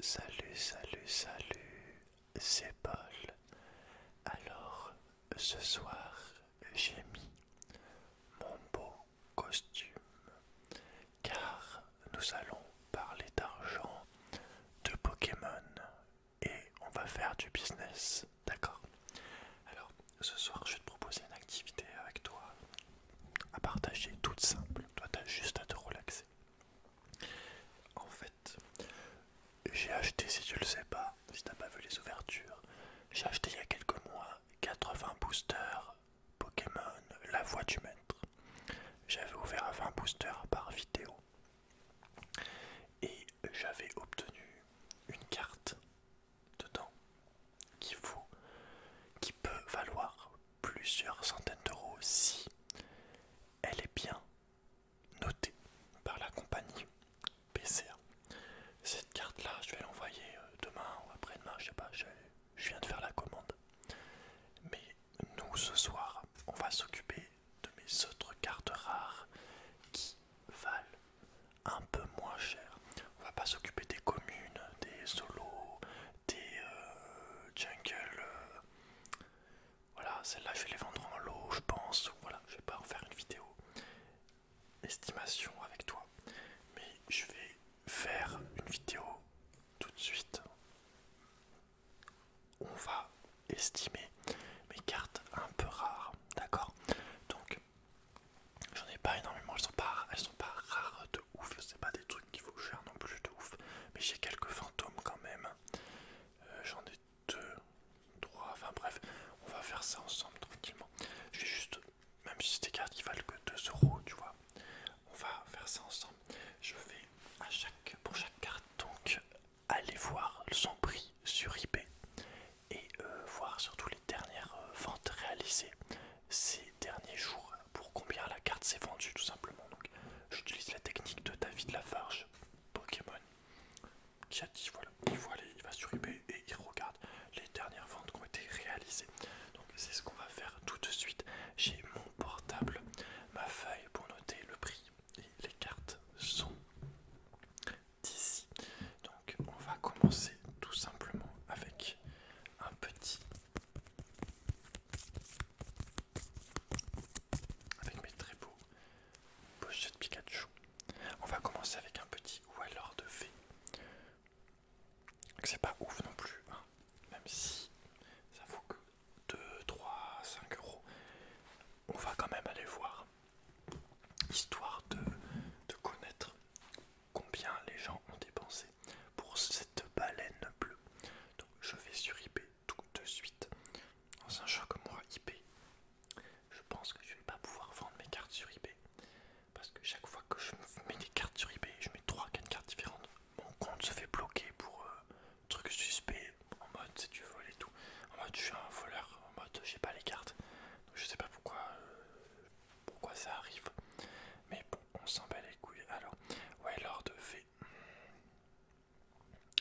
Salut, salut, salut, c'est Paul. Alors, ce soir, j'ai mis mon beau costume car nous allons parler d'argent, de Pokémon et on va faire du business, d'accord Alors, ce soir, je vais te proposer une activité avec toi à partager toute simple. Toi, t'as juste à te relaxer. En fait, j'ai acheté, si tu le sais pas, si tu n'as pas vu les ouvertures, j'ai acheté il y a quelques mois 80 boosters Pokémon La Voix du Maître. J'avais ouvert 20 boosters par vidéo et j'avais obtenu une carte dedans qui qui peut valoir plusieurs centaines d'euros si elle est bien notée par la compagnie PCA. Cette carte-là, je vais l'envoyer euh, demain ou après-demain, je sais pas, je, viens de faire la commande. Mais nous, ce soir, on va s'occuper de mes autres cartes rares qui valent un peu moins cher. On va pas s'occuper des communes, des solos, des euh, jungles, euh, voilà, celle-là, je vais les vendre en lot, je pense. Voilà, je vais pas en faire une vidéo estimation avec toi. Mais je vais faire une vidéo tout de suite. On va estimer mes cartes un peu rares, d'accord Donc, j'en ai pas énormément, elles sont pas, elles sont pas rares de ouf, c'est pas des trucs qu'il faut faire non plus mais j'ai quelques fantômes quand même. Euh, j'en ai deux, trois, enfin bref, on va faire ça ensemble tranquillement. Je vais juste, même si c'est des cartes qui valent que 2 euros, tu vois, on va faire ça ensemble. Je vais à chaque, pour chaque carte donc aller voir son prix sur eBay et euh, voir surtout les dernières euh, ventes réalisées ces derniers jours pour combien la carte s'est vendue tout simplement. Donc j'utilise la technique de David Lafarge, Pokémon, qui a dit voilà, il voit il va sur eBay et il regarde les dernières ventes qui ont été réalisées. Donc c'est ce qu'on va faire tout de suite. J'ai mon portable, ma feuille pour noter le prix et les cartes sont d'ici. Donc on va commencer tout simplement avec un petit avec mes très beaux de Pikachu. On va commencer avec un petit alors de V. C'est pas ouf non plus, hein. même si ça vaut que 2, 3, 5 euros. On va quand même aller voir, histoire de, de connaître combien les gens ont dépensé pour cette baleine bleue. Donc je vais sur IP tout de suite. Dans un jeu moi, IP, je pense que je vais pas pouvoir vendre mes cartes sur IP Parce que chaque fois que je mets des cartes sur IP, je mets 3-4 cartes différentes. Mon compte se fait bloquer pour truc euh, trucs suspects, en mode c'est du vol et tout. En mode je suis un voleur, en mode j'ai pas les cartes. Donc je sais pas pourquoi, euh, pourquoi ça arrive. Mais bon, on s'en bat les couilles. Alors, ouais, fait... fait.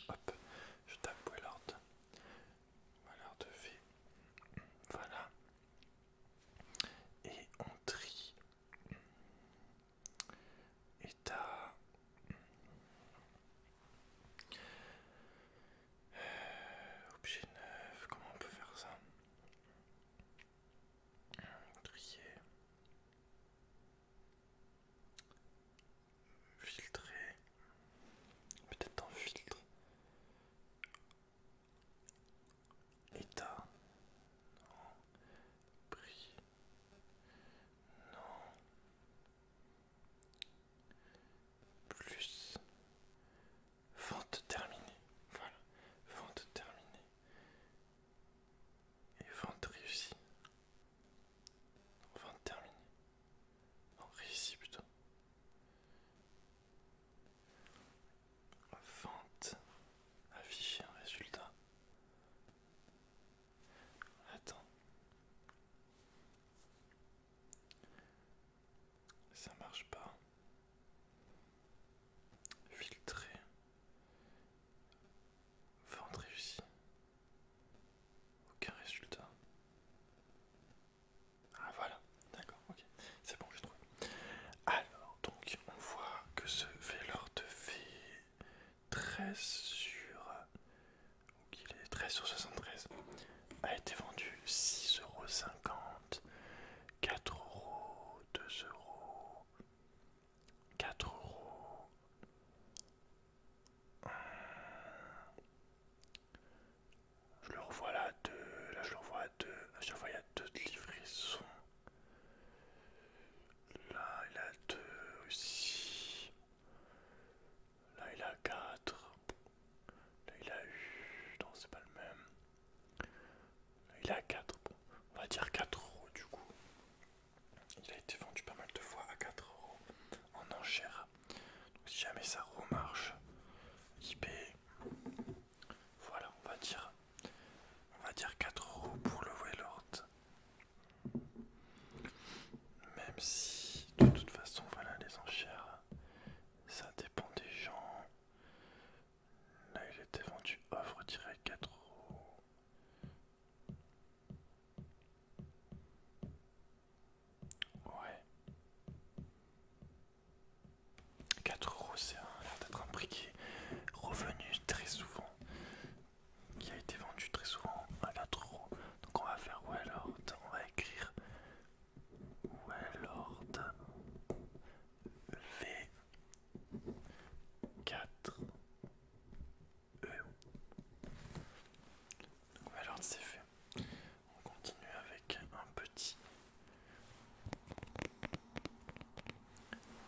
Hop, je tape l'ordre de vie Voilà. Et on trie. État. Euh, objet neuf, comment on peut faire ça Trier filtrer peut-être en filtre état non prix non plus vente terminée voilà vente terminée et vente réussie. Vente terminée. Non, réussie plutôt. Vente. Afficher un résultat. Attends. Ça marche pas. Filtrer. Vente réussie. Aucun résultat. Ah voilà, d'accord, ok, c'est bon, j'ai trouvé. Alors, donc, on voit que ce Vélor de v 13 sur. il est 13 sur 73. A été vendu 6,50€, 4€, 4 euros. Je le revois là à 2. Là, je le revois à 2. À chaque fois, il y a 2 de livraison. Là, il a 2 aussi. Là, il a 4. Là, il a eu. Non, c'est pas le même. Là, il a 4. Bon, on va dire 4 euros du coup. Il a été vendu pas mal de fois à 4 euros en enchères, Donc, si jamais ça remarche, IP, voilà, on va dire, on va dire 4 euros pour le Waylord. Même si, de toute façon, voilà les enchères, ça dépend des gens. Là, il était vendu offre-4 euros. Ouais. 4 euros, c'est un prix qui est revenu très souvent, qui a été vendu très souvent à 4 euros. Donc on va faire wellord on va écrire wellord V4 alors c'est fait. On continue avec un petit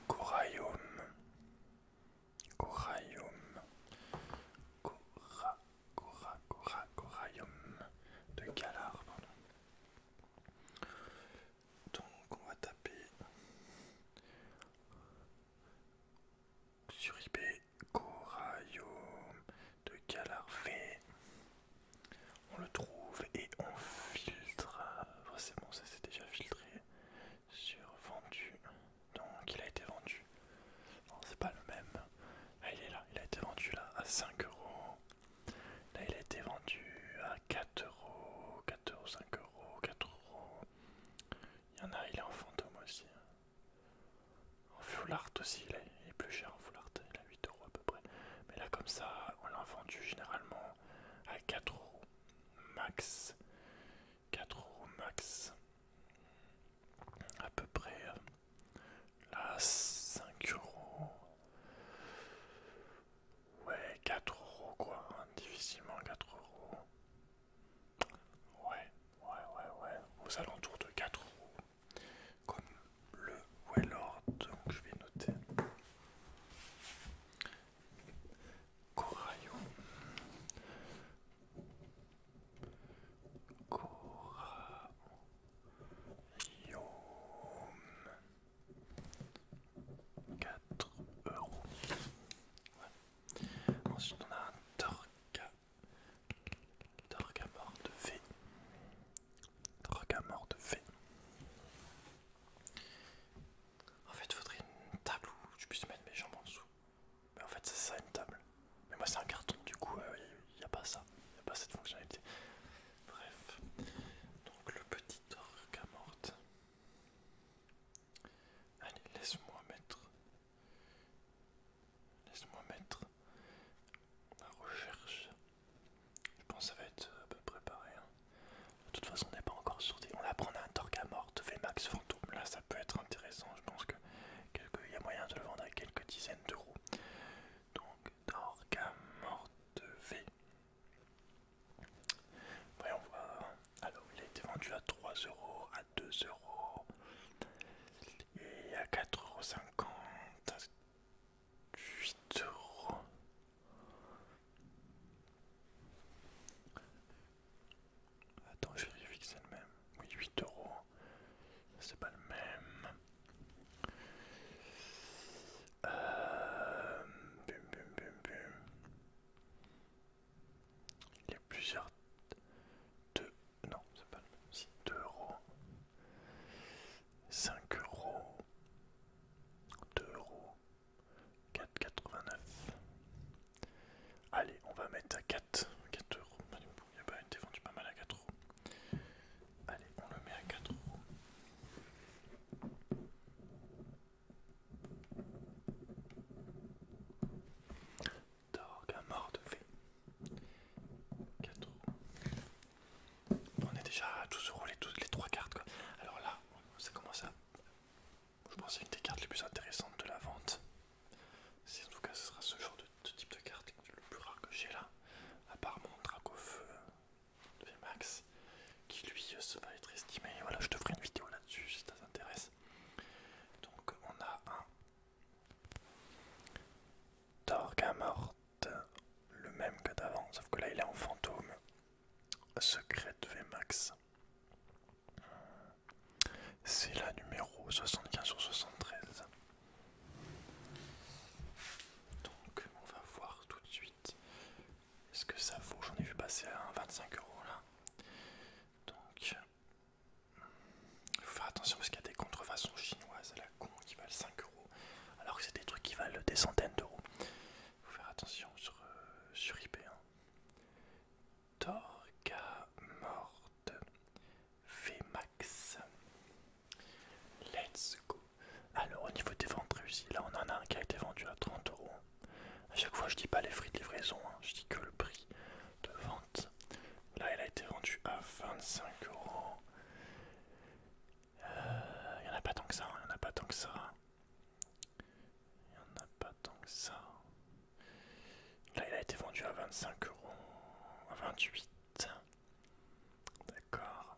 Corallium. Corallium. Cora, cora, cora, de Galar, Donc on va taper sur ip Coraillon de Calarvé. On le trouve et on filtre. Forcément, ça s'est déjà filtré sur vendu. Donc il a été vendu. Non, c'est pas le même. Là, ah, il est là. Il a été vendu là à 5 euros. Là, il a été vendu à 4 euros, 4 euros, 5 euros, 4 euros. Il y en a, il est en fantôme aussi. En full aussi, il est, plus cher en full il a à 8 euros à peu près. Mais là, comme ça, on l'a vendu généralement à 4 euros max. 4 euros max. À peu près. Euh, là, 5 euros. Ouais, 4 euros quoi. Hein, difficilement 4 euros. Ouais, ouais, ouais, ouais, aux alentours de 4 euros, comme le Wellord, donc je vais noter. Coraillon. Coraillon. 4 euros. Ouais. Ensuite, on a un Torga. Torga mort de V. Torga mort V. En fait, il faudrait une table où je puisse mettre mes jambes en dessous. Mais en fait, c'est ça une table. Mais moi, c'est un carton, du coup, euh, il n'y a pas ça. Il n'y a pas cette fonctionnalité. Bref. Donc, le petit à morte. Allez, laisse-moi mettre. Laisse-moi mettre la recherche. Je pense que ça va être à euh, peu près hein. De toute façon, on n'est pas encore sorti. On va prendre un à V Max max Fantôme. Là, ça peut être intéressant. Je pense que Il y a moyen de le vendre à quelques dizaines d'euros. Donc, Torga mort V. Voyons voir. Alors, il a été vendu à 3 euros, à 2 euros et à 4,50 euros, 8 euros. Attends, je vérifie que c'est le même. Oui, 8 euros. C'est pas le même. Euh, il y a plusieurs. 2 Non, c'est pas le même. 2 euros. 5 euros. 2 euros. 4,89. Allez, on va mettre à 4. 4 euros. Il y a pas été vendu pas mal à 4 euros. Allez, on le met à 4 euros. Dorgue mort de On est déjà à 12 rouler toutes les trois cartes quoi. Alors là, ça commence à. Je pense que c'est une des cartes les plus intéressantes de la vente. en tout cas ce sera ce genre de, type de carte le plus rare que j'ai là, à part mon Dracofeu feu de Max, qui lui va être estimé. Voilà, je te ferai une vidéo là-dessus si ça t'intéresse. Donc on a un Mort, le même que d'avant, sauf que là il est en fantôme. Secret Vmax. C'est la numéro 75 sur 73. Donc on va voir tout de suite est-ce que ça vaut J'en ai vu passer à 25 euros là. Donc, il faut faire attention parce qu'il y a des contrefaçons chinoises à la con qui valent 5 euros, alors que c'est des trucs qui valent des centaines d'euros. Il faut faire attention sur, euh, sur IP. Hein. morte Vmax. Let's go. Alors, au niveau des ventes réussies, là on en a un qui a été vendu à 30 euros. A chaque fois je dis pas les frais de livraison, je dis que le prix de vente. Là elle a été vendu à 25 euros. Il euh, n'y en a pas tant que ça, il hein. n'y en a pas tant que ça. Il n'y en a pas tant que ça. Là il a été vendu à 25 euros, à 28. D'accord.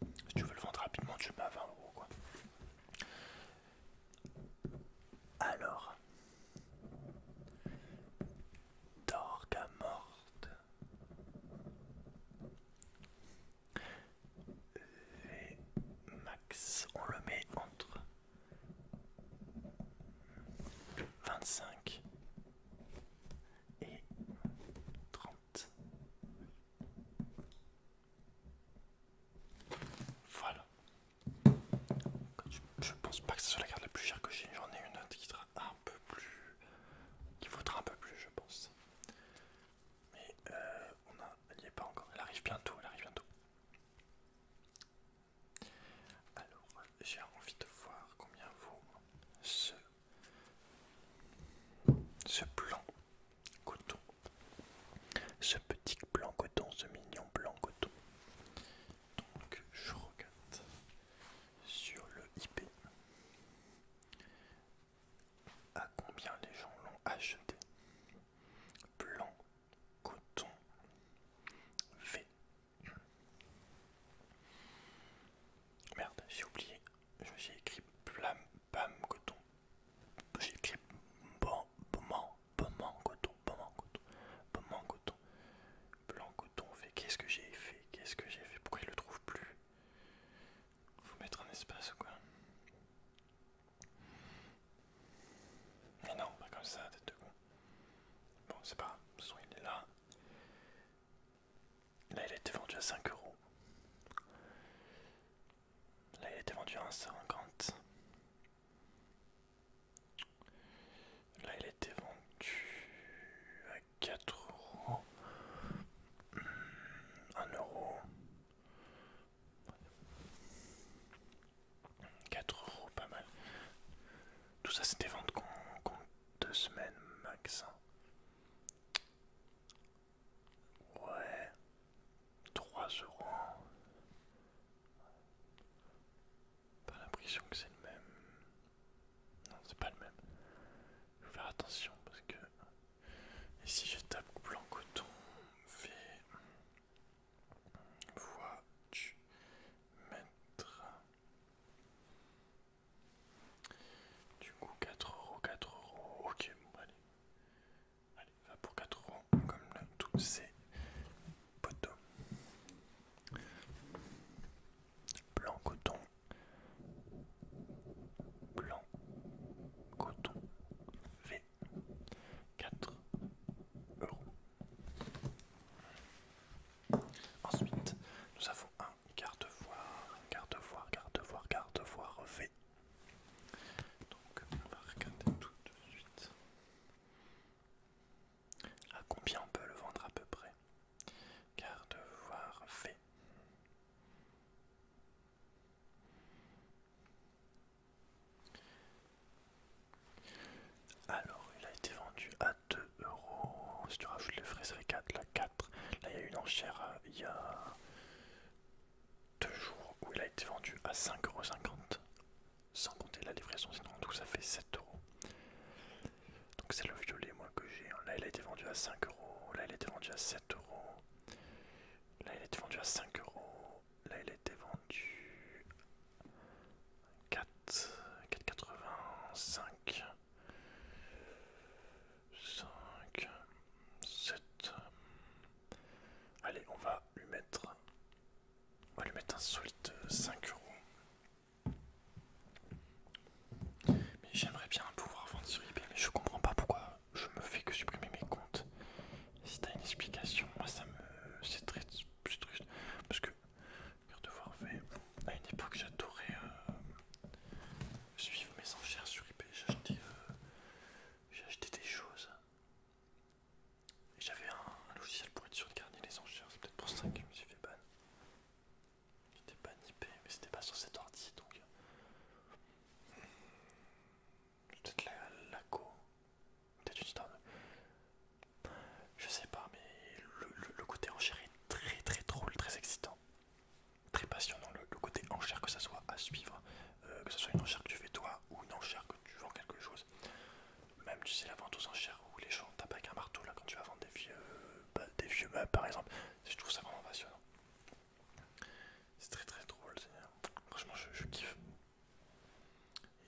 Si tu veux le vendre rapidement, tu le mets à 20 euros quoi. Alors, Dorga morte. Et max, on le met entre 25 et 30. Voilà. Je pense pas que ce soit la carte la plus chère que j'ai. J'en ai une autre qui sera un peu plus. qui vaudra un peu plus, je pense. Mais euh, on a, elle n'y est pas encore. Elle arrive bientôt. Elle arrive bientôt. Alors, j'ai envie de voir combien vaut ce, ce plan. Coton. Ce petit blanc coton, ce mignon blanc coton. Donc je regarde sur le IP à combien les gens l'ont acheté. Blanc coton V. Merde, j'ai oublié. je J'ai écrit blanc Bam coton. J'ai écrit bon, bon, bon, coton, bon, coton, bon, coton. Blanc coton fait qu'est-ce que j'ai fait Qu'est-ce que j'ai fait Pourquoi il le trouve plus Faut mettre un espace ou quoi Mais non, pas comme ça, t'es de con. Bon, c'est pas grave, de il est là. Là, il a vendu à 5 euros. Là, il a vendu à 1,50. Là, il était été vendu à 4 euros. 1 hmm, euro. 4 euros, pas mal. Tout ça, c'était vendu contre 2 semaines max. Hein. Ouais, 3 euros. Pas l'impression que c'est le même. Non, c'est pas le même. Faut faire attention parce que. Et si je tape blanc coton, V, voix tu, mettre du coup 4 euros, 4 euros, ok bon allez. Allez, va pour 4 euros comme là, tous ces poteaux. Blanc coton. Blanc coton. V 4 euros. Ensuite, nous avons un garde-voir, garde-voir, garde-voir, garde-voir V donc on va regarder tout de suite. À combien on peut le vendre à peu près Car voir fait. Alors il a été vendu à 2 euros. Si tu rajoutes les frais, ça 4, là 4. Là il y a une enchère euh, il y a deux jours où il a été vendu à 5,50€, sans compter la livraison, c'est ça fait 7€. Donc c'est le violet moi que j'ai. Hein. Là il a été vendu à 5€, là il a été vendu à 7€, là il a été vendu à 5€, là il a été vendu à 4,85€. 5, 7. Allez, on va lui mettre. On va lui mettre un solide 5 euros. Mais j'aimerais bien pouvoir vendre sur eBay, mais je comprends pas pourquoi je me fais que supprimer mes comptes. Si t'as une explication, moi ça me. C'est très. Parce que, voir, à une époque j'adorais euh, suivre mes enchères sur IP, euh, J'ai acheté, des choses. j'avais un, logiciel pour être sûr de garder les enchères. C'est peut-être pour ça que je me suis fait ban. J'étais ban IP, mais c'était pas sur cet ordi donc. Euh, peut-être la, co. Peut-être une histoire de... Je sais pas, mais le, côté enchère est très très drôle, très excitant très passionnant le, côté enchère que ça soit à suivre, euh, que ce soit une enchère que tu fais toi ou une enchère que tu vends quelque chose. Même tu sais la vente aux enchères où les gens tapent avec un marteau là quand tu vas vendre des vieux, bah, des vieux meubles par exemple. Je trouve ça vraiment passionnant. C'est très très drôle, franchement je, kiffe.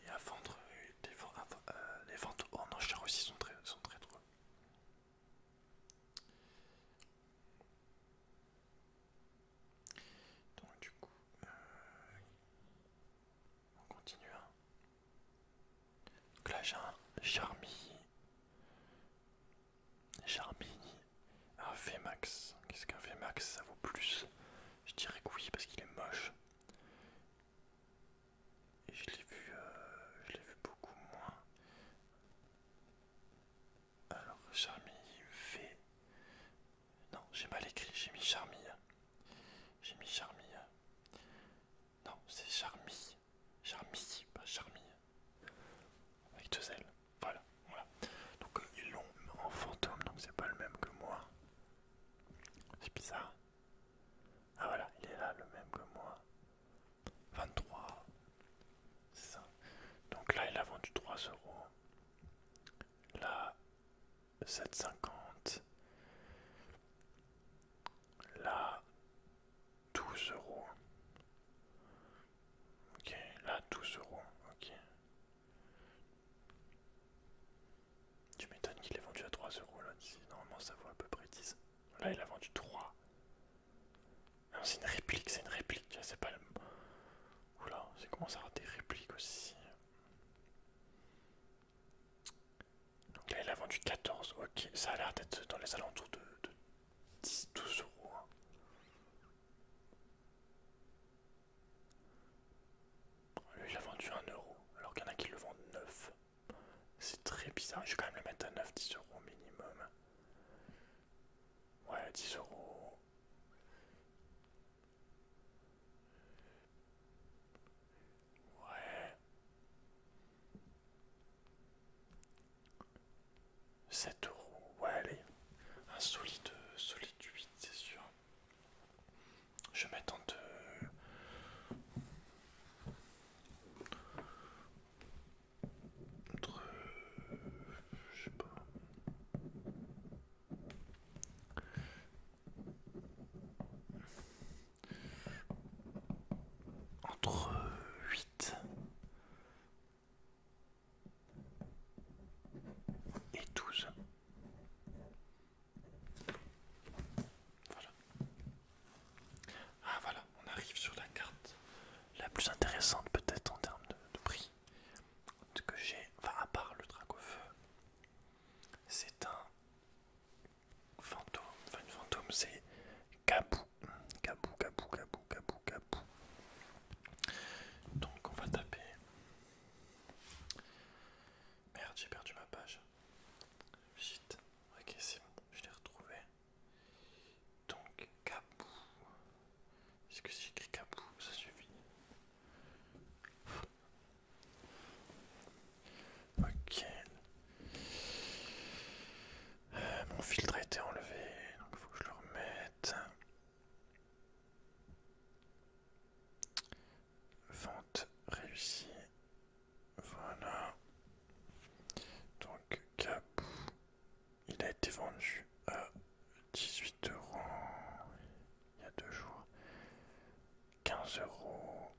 Et à vendre, euh, les ventes en enchères aussi sont très, sont très drôles. Donc du coup, euh, on continue. Hein. Donc là j'ai un Charmini. max Un VMAX. Qu'est-ce qu'un VMAX ça vaut plus Je dirais que oui parce qu'il est moche. Et je l'ai vu, euh, je l'ai vu beaucoup moins. Alors, Charmi V. Non, j'ai mal écrit, j'ai mis Charmille. J'ai mis Charmille. Non, c'est Charmille. Charmille, pas Charmille. Avec deux L, Voilà, voilà. Donc, euh, ils l'ont en fantôme, donc c'est pas le même que moi. C'est bizarre. Ah voilà, il est là, le même que moi. 23. ça. Donc là, il a vendu 3 euros. Là, 7,50. Là, 12 euros. Ok, là, 12 euros. Ok. Tu m'étonnes qu'il ait vendu à 3 euros là. Normalement, ça vaut à peu près 10. Là, il a vendu 3. Non, c'est une réplique, c'est une réplique, c'est pas le. Oula, comment ça ça avoir des répliques aussi. Donc là, il a vendu 14, ok, ça a l'air d'être dans les alentours de, 10-12 euros. Hein. Lui, il a vendu 1 euro, alors qu'il y en a qui le vendent 9. C'est très bizarre, je vais quand même le mettre à 9-10 euros minimum. Ouais, 10 euros. Ouais. 7 euros. Ouais, allez. Un solide, solide 8, c'est sûr. Je mets m'attends de... Entre. Je sais pas. Entre 8 et 12. Voilà. Ah voilà, on arrive sur la carte la plus intéressante peut-être en termes de, prix que j'ai, enfin à part le feu, C'est un fantôme, enfin une fantôme, c'est Kabou. Kabou, Kabou, Kabou, Kabou, Kabou. Donc on va taper. Merde, j'ai perdu ma page. Ok, c'est bon, je l'ai retrouvé. Donc Capou. Est-ce que c'est j'écris ça suffit Ok. Euh, mon filtre a été enlevé, donc il faut que je le remette. Vente réussie. Voilà. Donc capou. Il a été vendu à 18 euros il y a deux jours. 15 euros.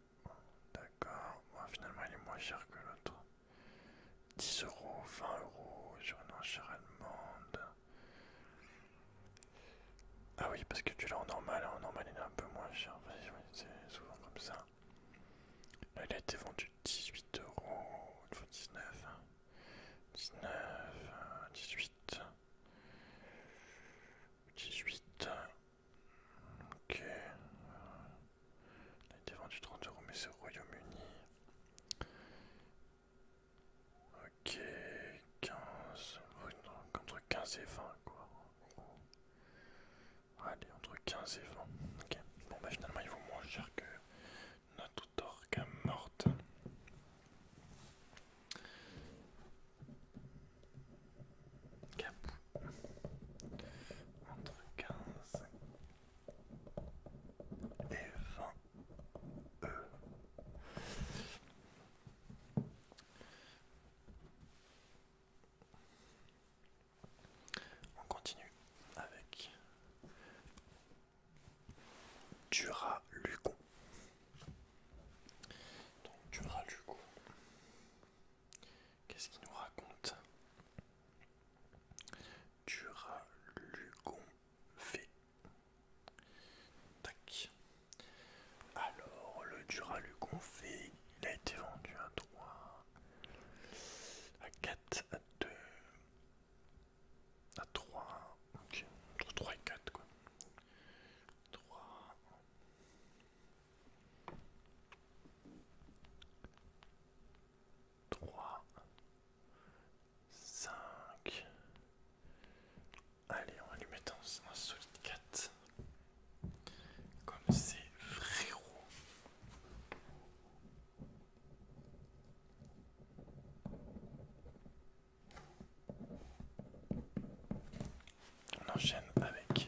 D'accord. finalement, il est moins cher que l'autre. 10 euros, 20 euros sur une enchère allemande. Ah oui, parce que tu l'as en normal. En normal, il est un peu moins cher. c'est souvent comme ça. Là, il a été vendu 18 euros, 19, 19, 18, 18, ok, il a été vendu 30 euros mais c'est au Royaume-Uni, ok, 15, entre 15 et 20 quoi, Allez, entre 15 et 20. Ok. Bon, bah finalement, il vaut moins cher que notre tout orque morte. Capou. Entre 15 et 20 E. On continue avec Dura-Lugon. Donc Dura-Lugon. Qu'est-ce qu'il nous raconte Dura-Lugon fait Tac. Alors, le Dura-Lugon V, il a été vendu à 3, à 4, à 2, à ah, 3, ok, 3 et 4 quoi. 3. 5 Allez, on va lui mettre un, un solide 4. Comme c'est frérot. On enchaîne avec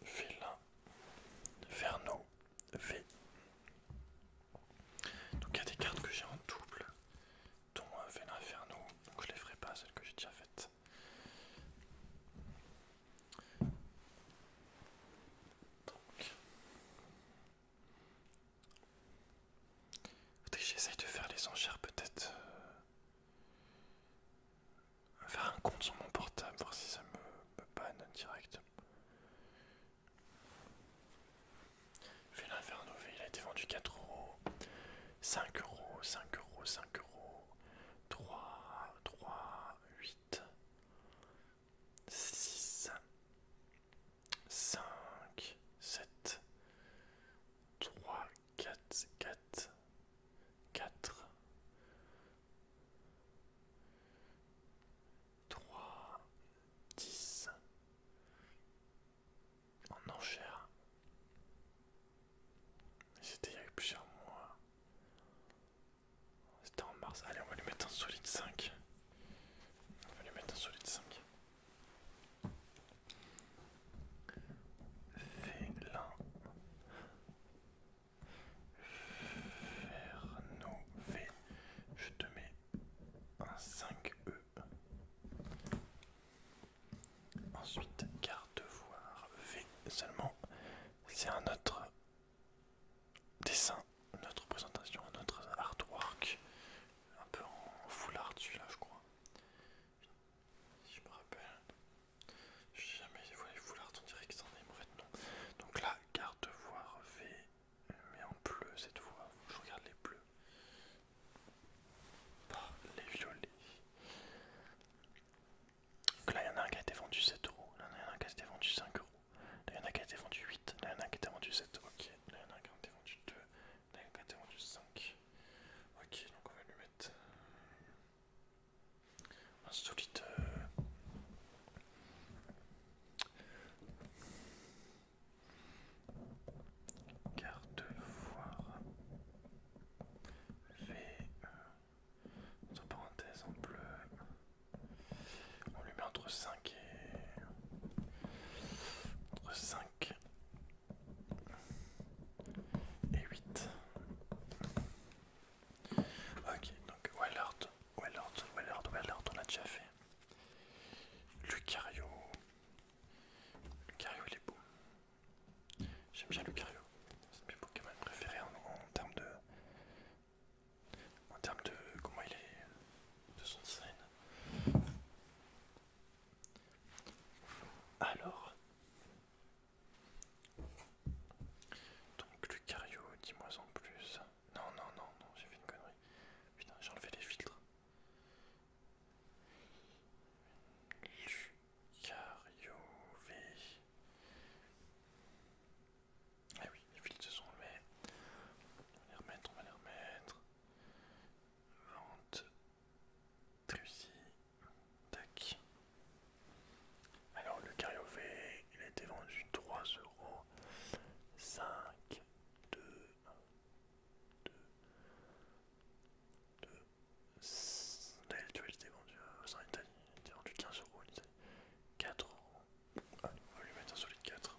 Vélin, Ferno. V. Donc il y a des cartes que j'ai en double, dont Vélin, Ferno. donc je les ferai pas, celles que j'ai déjà faites. Donc. J'essaye de faire les enchères peut-être. Euh, faire un compte sur mon portable, voir si ça me, banne panne direct. vais l'inferno, il a été vendu 4 euros, 5 euros, 5 euros, 5 euros, 3, 3, 8, 6, 5, 7, 3, 4, 4, 4, 3, 10, en enchère. C'était il y a plusieurs mois. C'était en mars. Allez, on va lui mettre un solide 5. On va lui mettre un solide 5. Vélin. V Je te mets un 5E. Ensuite, garde voir V seulement. C'est un autre dessin, notre présentation, notre artwork, un peu en foulard art celui-là je crois, si je me rappelle, j'ai jamais vu les full on dirait que c'en en fait non Donc là, garde voir V, mais en bleu cette fois, je regarde les bleus, pas les violets. Donc là, il y en a un qui a été vendu 7 euros, là, il y en a un qui a été vendu 5 euros, là, il y en a un qui a été vendu 8, là, il y en a un qui a été vendu 7, ok, là, il y en a un qui a été vendu 2, là, il y en a un qui a été vendu 5, ok, donc on va lui mettre euh, un solide. Euh... Garde-foire e entre parenthèse, en bleu. On lui met entre 5 et. entre 5 et 8. Ok, donc Ou alors Wellard, Walert, on a déjà fait. Lucario. Lucario, il est beau. J'aime bien Lucario. C'est mes Pokémon préférés en termes de en termes de comment il est, de son scène. Alors, donc Lucario, dis-moi en plus. Non, non, non, non, j'ai fait une connerie. Putain, j'ai enlevé les filtres. Lucario V. Ah oui, les fils se sont enlevés. On va les remettre, on va les remettre. Vente. Tac. Alors le cariophée, il a été vendu 3 euros. 5, 2, 2, 2. il a vendu 15 euros en 4 euros. Ah, on va lui mettre un solide 4.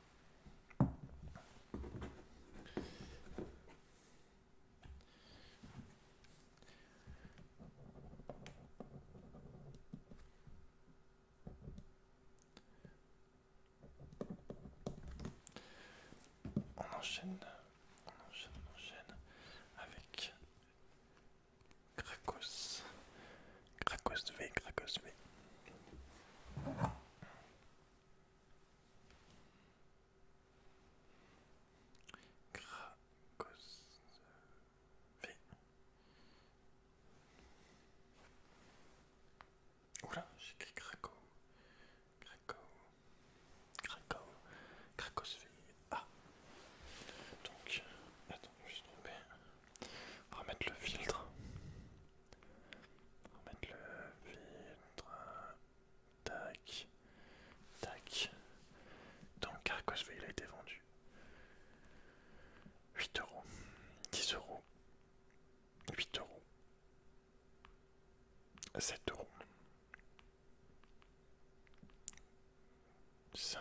On enchaîne, on enchaîne, on enchaîne avec Cracos... de V, Krakos V. Cracos V. Oula, j'écris Cracos, Cracos, Cracos, Cracos V. Ah. Donc, attends, je suis trompé. Remettre le filtre. Remettre le filtre. Tac. Tac. Donc vais il a été vendu. 8 euros. 10 euros. 8 euros. 7 euros. 5.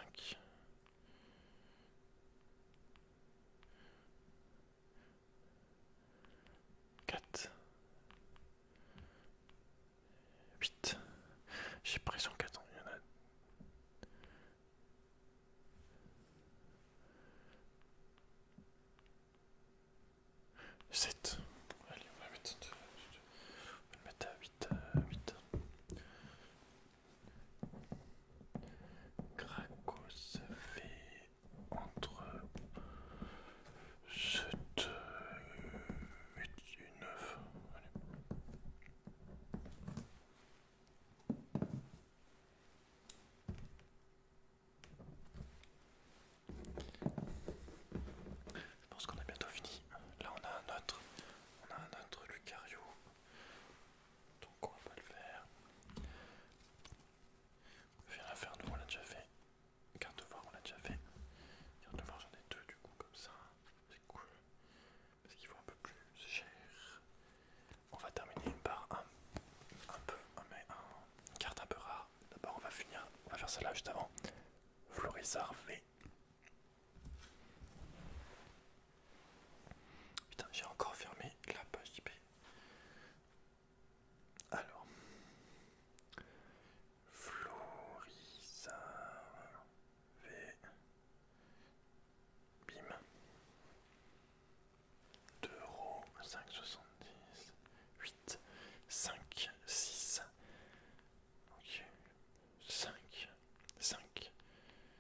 Quatre. Huit. J'ai pris son il y en a. Sept. Allez, on va mettre, on à Gracos fait entre 7, et Je pense qu'on a bientôt fini. Là on a un autre. On a un autre Lucario. Donc on va pas le faire. Faire nous, on l'a déjà fait. Carte de voir, on l'a déjà fait. Carte de voir, j'en ai deux du coup, comme ça. C'est cool. Parce qu'il faut un peu plus cher. On va terminer par un, peu, un, carte un peu rare. D'abord, on va finir, on va faire celle-là juste avant. Florisar V. Putain, j'ai encore fermé la page IP. Alors, floris V. Bim. 2 euros, 5,70, 8, 5, 6. Ok, 5, 5,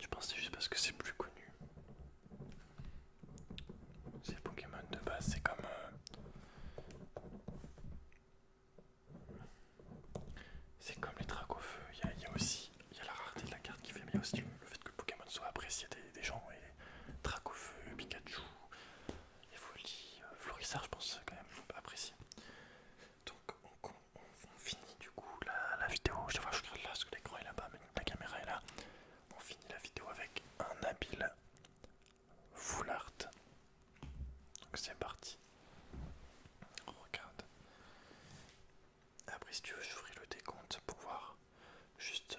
Je pense que c'est juste parce que c'est plus connu. C'est Pokémon de base, c'est comme... Euh, c'est comme les dracs feu, il y a, aussi... Il y a la rareté de la carte qui fait, mais il y a aussi le, fait que le Pokémon soit apprécié des, gens. Et Pikachu, les Folie euh, florissards, je pense quand même apprécié. Donc on, finit du coup la, vidéo. Je sais vois, je regarde là parce que l'écran est là-bas, mais la caméra est là. On finit la vidéo avec un habile foulard. Donc c'est parti. regarde. Après, si tu veux, j'ouvre le décompte pour voir juste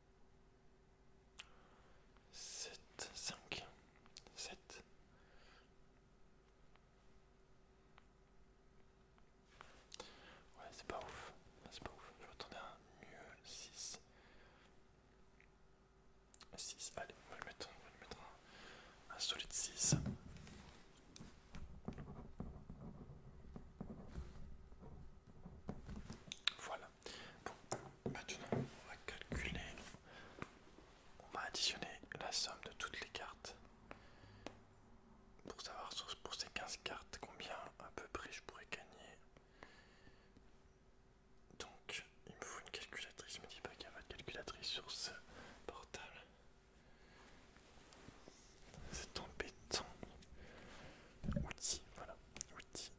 7, 5, 7. Ouais, c'est pas ouf. C'est pas ouf. Je m'attendais à mieux 6. 6, allez, on va le mettre, le un solide 6. Voilà, Bon, maintenant on va calculer, on va additionner la somme de toutes les cartes pour savoir pour ces 15 cartes combien à peu près je pourrais gagner. Donc il me faut une calculatrice, me dis pas qu'il n'y a pas de calculatrice sur ce portable. C'est embêtant. Outil, voilà. Outil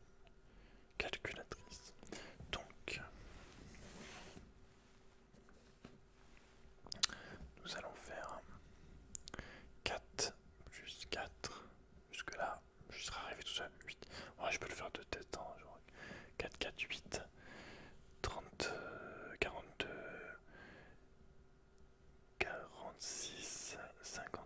calculatrice. Donc, nous allons faire 4 plus 4. Jusque là, je serai arrivé tout seul. 8. je peux le faire de tête. en hein, genre 4, 4, 8. 30, 42, 46, 50.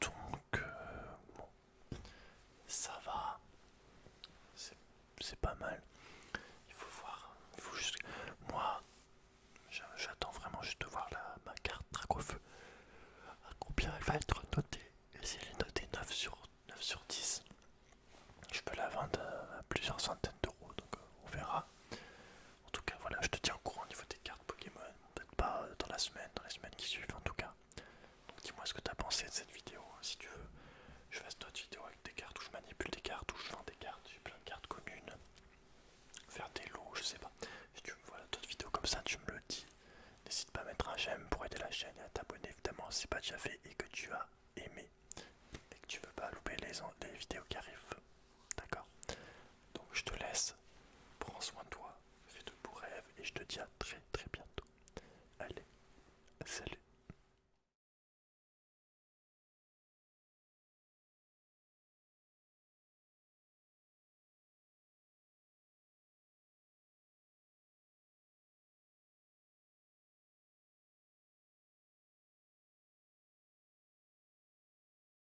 Donc, euh, bon, ça va, c'est pas mal. Il faut voir, Moi, j'attends vraiment juste de voir ma carte Dracofeu. À combien elle va être notée si elle est notée sur, 9 sur 10, je peux la vendre à plusieurs centaines d'euros, donc euh, on verra. En tout cas, voilà, je te tiens au courant au niveau des cartes Pokémon. Peut-être pas euh, dans la semaine, dans les semaines qui suivent en tout cas. Donc dis-moi ce que tu as pensé de cette vidéo. Hein, si tu veux, je fasse d'autres vidéos avec des cartes où je manipule des cartes, où je vends des cartes, j'ai plein de cartes communes. Faire des lots, je sais pas. Si tu veux, voilà, d'autres vidéos comme ça, tu me le dis. N'hésite pas à mettre un j'aime pour aider la chaîne et à t'abonner évidemment si c'est pas déjà fait et que tu as aimé et que tu veux pas louper les vidéos qui arrivent. D'accord Donc je te laisse, prends soin de toi, fais de beaux rêves et je te dis à très très bientôt. Allez, salut